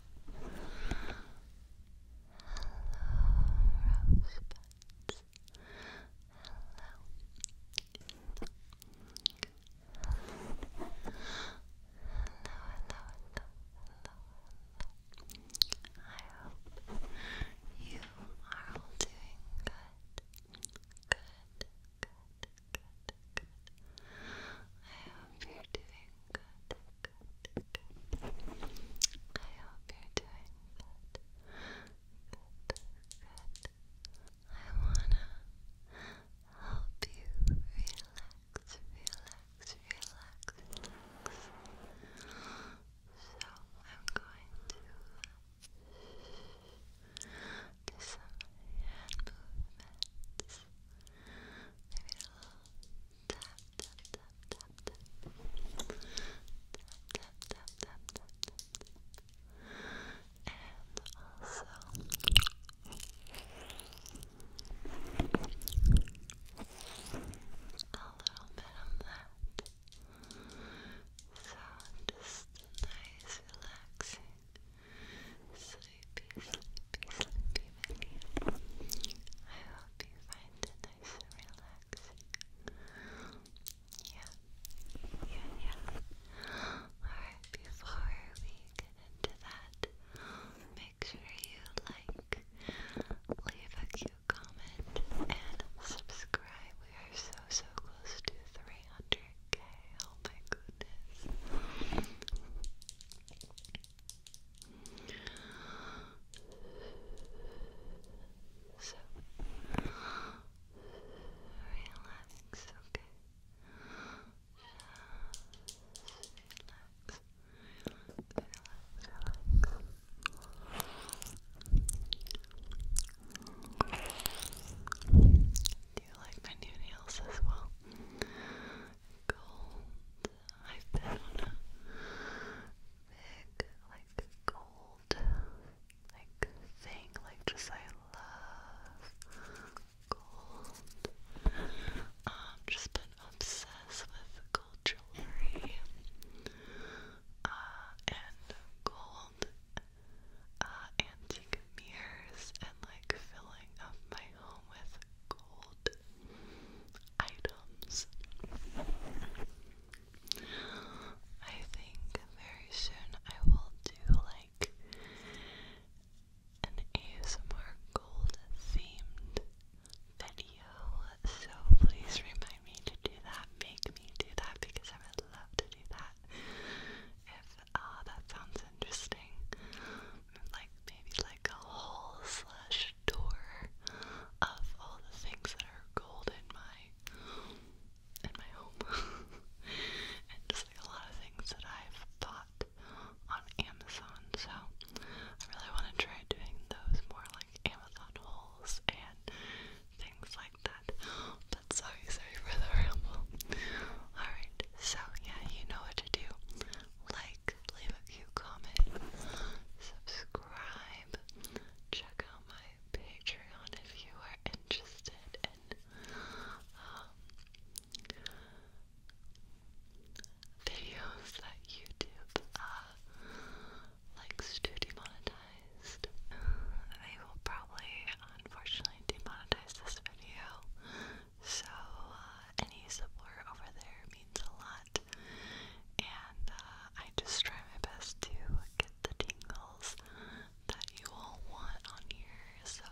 hello. I hope you are all doing good. Good, good, good, good. I hope you're doing good. Good, I hope you're doing good. Good, good. I wanna help you relax, relax, relax. So I'm going to do some hand movements. Maybe a little tap, tap, tap, tap, tap. Tap, tap, tap, tap, tap, And also a little bit of that. So just nice relaxing Sleepy, sleepy, sleepy video. I hope you find it nice and relaxing. Yeah, yeah, yeah. Alright, before we get into that, make sure you like, leave a cute comment, and subscribe. We are so, so close to 300k. Oh my goodness. So relax, okay? Just relax, relax, relax. Do you like my new nails as well? cold. I've been big, like, cold, like, thing. Like, just, I love gold. Um, just been obsessed with gold jewelry. and gold, antique mirrors and like filling up my home with gold items. I think very soon I will do like an ASMR gold themed video. So please remind me to do that. Make me do that because I would love to do that. If Ah, that sounds interesting. Like maybe like a hole slash door of all the things that are gold in my in my home. and just like a lot of things that I've bought on Amazon. So I really want to try doing those more like Amazon hauls and things like that. But sorry, sorry for the ramble. Alright, so yeah, you know what to do like, leave a cute comment, subscribe, check out my Patreon if you are interested in um, videos that YouTube uh, likes to demonetized. They will probably, unfortunately, demonetize this video so, uh, any support over there means a lot. And uh, I just try my best to get the tingles that you all want on here. So,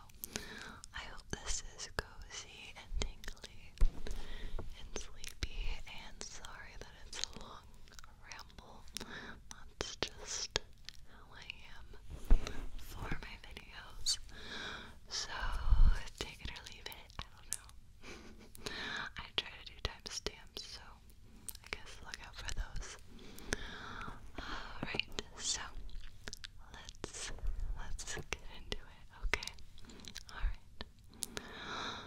I hope this is cozy and tingly and sleepy. And sorry that it's a long ramble. That's just how I am for my videos. So take it or leave it. I don't know. I try to do timestamps, so I guess look out for those. Alright, so let's let's get into it, okay? Alright.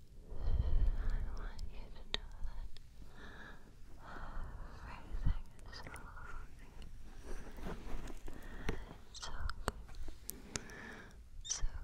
want you to know that everything is okay. It's okay. It's okay. Everything is okay, it's okay.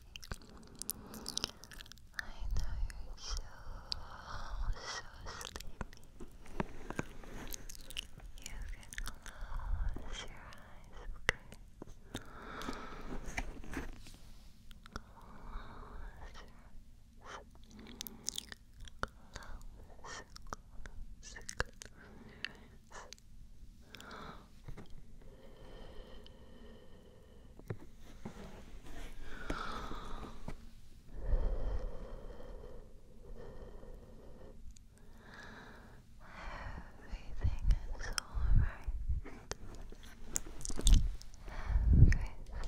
I know you're so, so sleepy. You can close your eyes, okay? Close your eyes. Close, close, close Everything is alright. Everything is alright.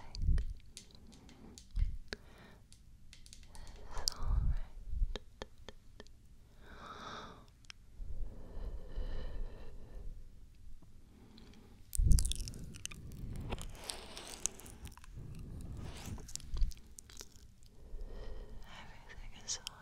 Everything is alright.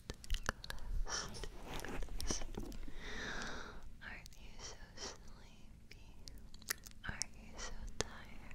closed, are you so sleepy? Are you so tired?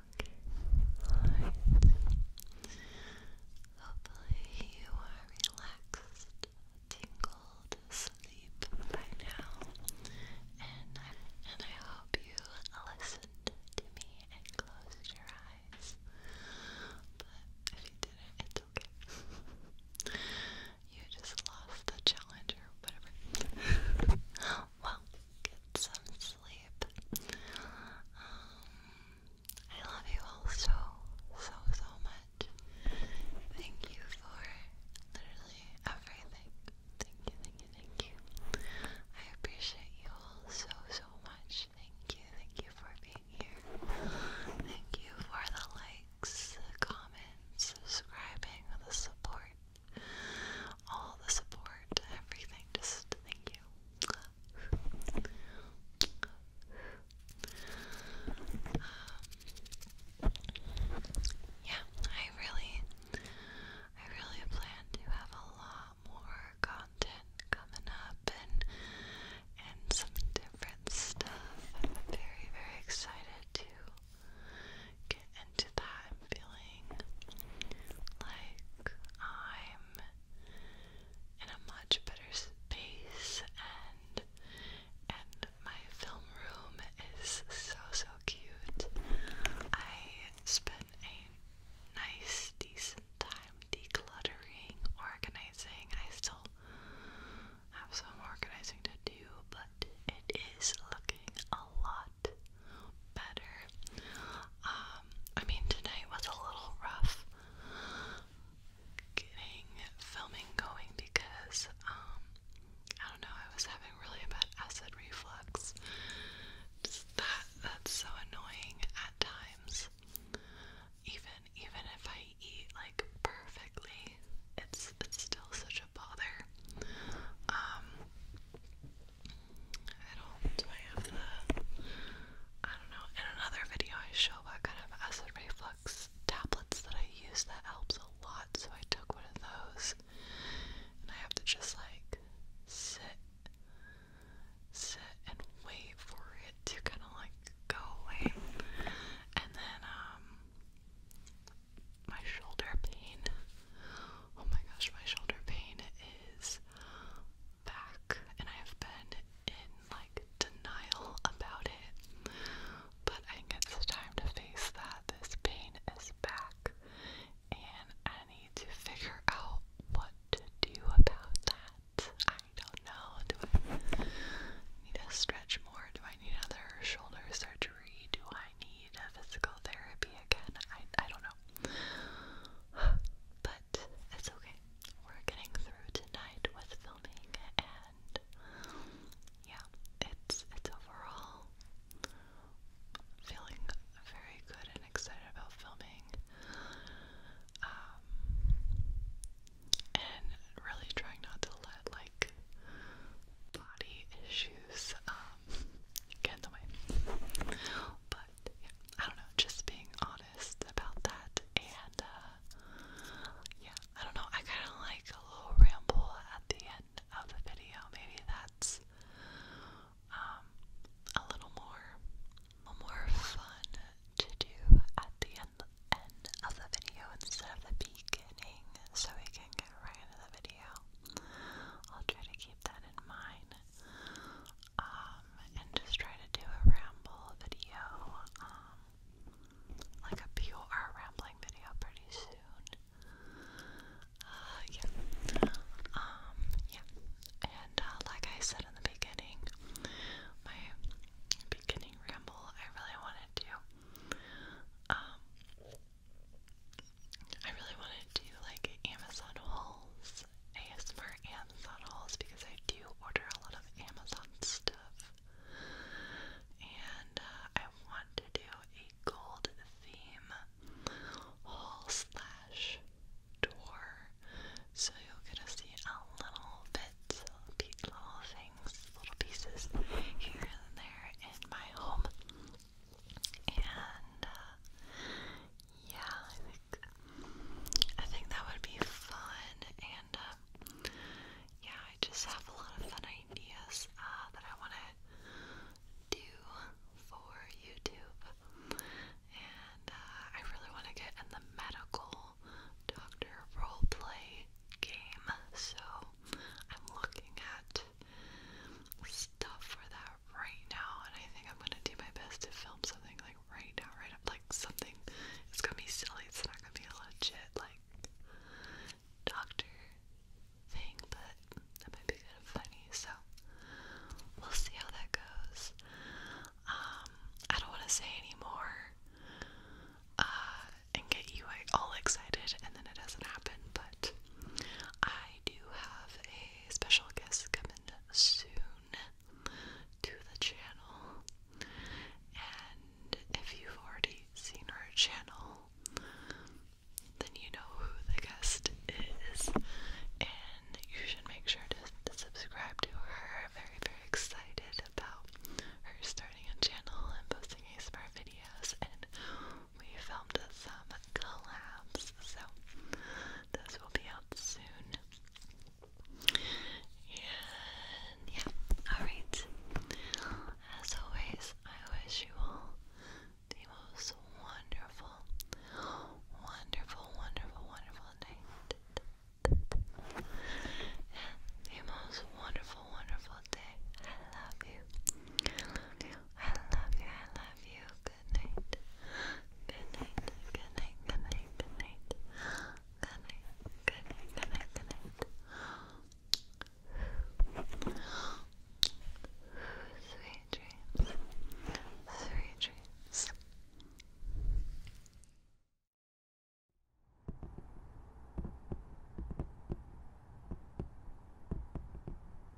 Alright. Hopefully you are relaxed, tingled asleep by now. And I, and I hope you listened to me and closed your eyes. But if you didn't, it's okay. you just lost the challenge or whatever. well, get some sleep. Um, I love you all so, so, so much. Thank you for literally everything. Thank you, thank you, thank you. I appreciate you all so, so much. Thank you, thank you for being here. Thank you for the likes, the comments, subscribing, the support. All the support, everything. Just thank um, yeah, I really, I really plan to have a lot more content coming up and and some different stuff. I'm very, very excited to get into that. I'm feeling like I'm in a much better space and and my film room is so so cute. I spent a nice decent time decluttering, organizing. I still have some organizing to do, but it is looking a lot better. Um, I mean, tonight was a little rough getting filming going because, um, I don't know, I was having really bad acid reflux. that that's so annoying at times. Even even if I eat like perfectly, it's it's still such a bother. Um, I don't, do I have the, I don't know, in another video I show what kind of acid reflux tablets that I use that helps a lot, so I took one of those, and I have to just like, sit, sit and wait for it to kind of like go away, and then, um, my shoulder pain, oh my gosh, my shoulder pain is back, and I have been in like denial about it. But I think it's time to face that this pain is back, and I need to figure out what to do about that. I don't know. Do I need to stretch more? Do I need other shoulder surgery? Do I need physical therapy again? I I don't know. But it's okay. We're getting through tonight with filming and yeah, it's it's overall feeling very good and excited about filming. Um, and really trying not to let like body issues um, get in the way. But yeah, I don't know, just being honest about that. And uh, yeah, I don't know, I kind of like a little ramble at the end of the video. Maybe that's um, a little more, a little more fun to do at the end, end of the video instead of the beginning, so we can get right into the video. I'll try to keep that in mind. Um, and just try to do a ramble video, um, like a pure rambling video pretty soon. Uh, yeah. Um, yeah. And, uh, like I said in the beginning, my beginning ramble, I really wanted to, I really wanted to do like Amazon hauls, ASMR Amazon hauls, because I do order a lot of Amazon stuff. And uh, I want to do a gold theme haul slash tour, so you'll get to see a little bit, little, little things, little pieces here and there in my home and uh, yeah, I think I think that would be fun, and uh, yeah, I just have a lot of fun ideas uh, that I want to do for YouTube, and uh, I really want to get in the medical doctor roleplay game, so I'm looking at stuff for that right now, and I think I'm gonna do my best to film something like right now, right up like something. It's gonna be silly. It's not gonna be a legit like doctor thing, but that might be kind of funny. So we'll see how that goes. Um, I don't want to say anymore. Uh, and get you all excited, and then it doesn't happen. But I do have a special guest coming soon to the channel. And if you've already seen her channel, then you know who the guest is. And you should make sure to, subscribe to her. Very, very excited about her starting a channel and posting ASMR videos and we filmed some collabs, so this will be out soon. And yeah, alright. As always, I wish you all the most wonderful, wonderful, wonderful, wonderful night. And the most wonderful, wonderful day. I love you. I love you. I love you. I love you good night. Good night. Good night. Good night. Good night. Good night. Good night. Good night. Good night. Sweet dreams. Sweet dreams.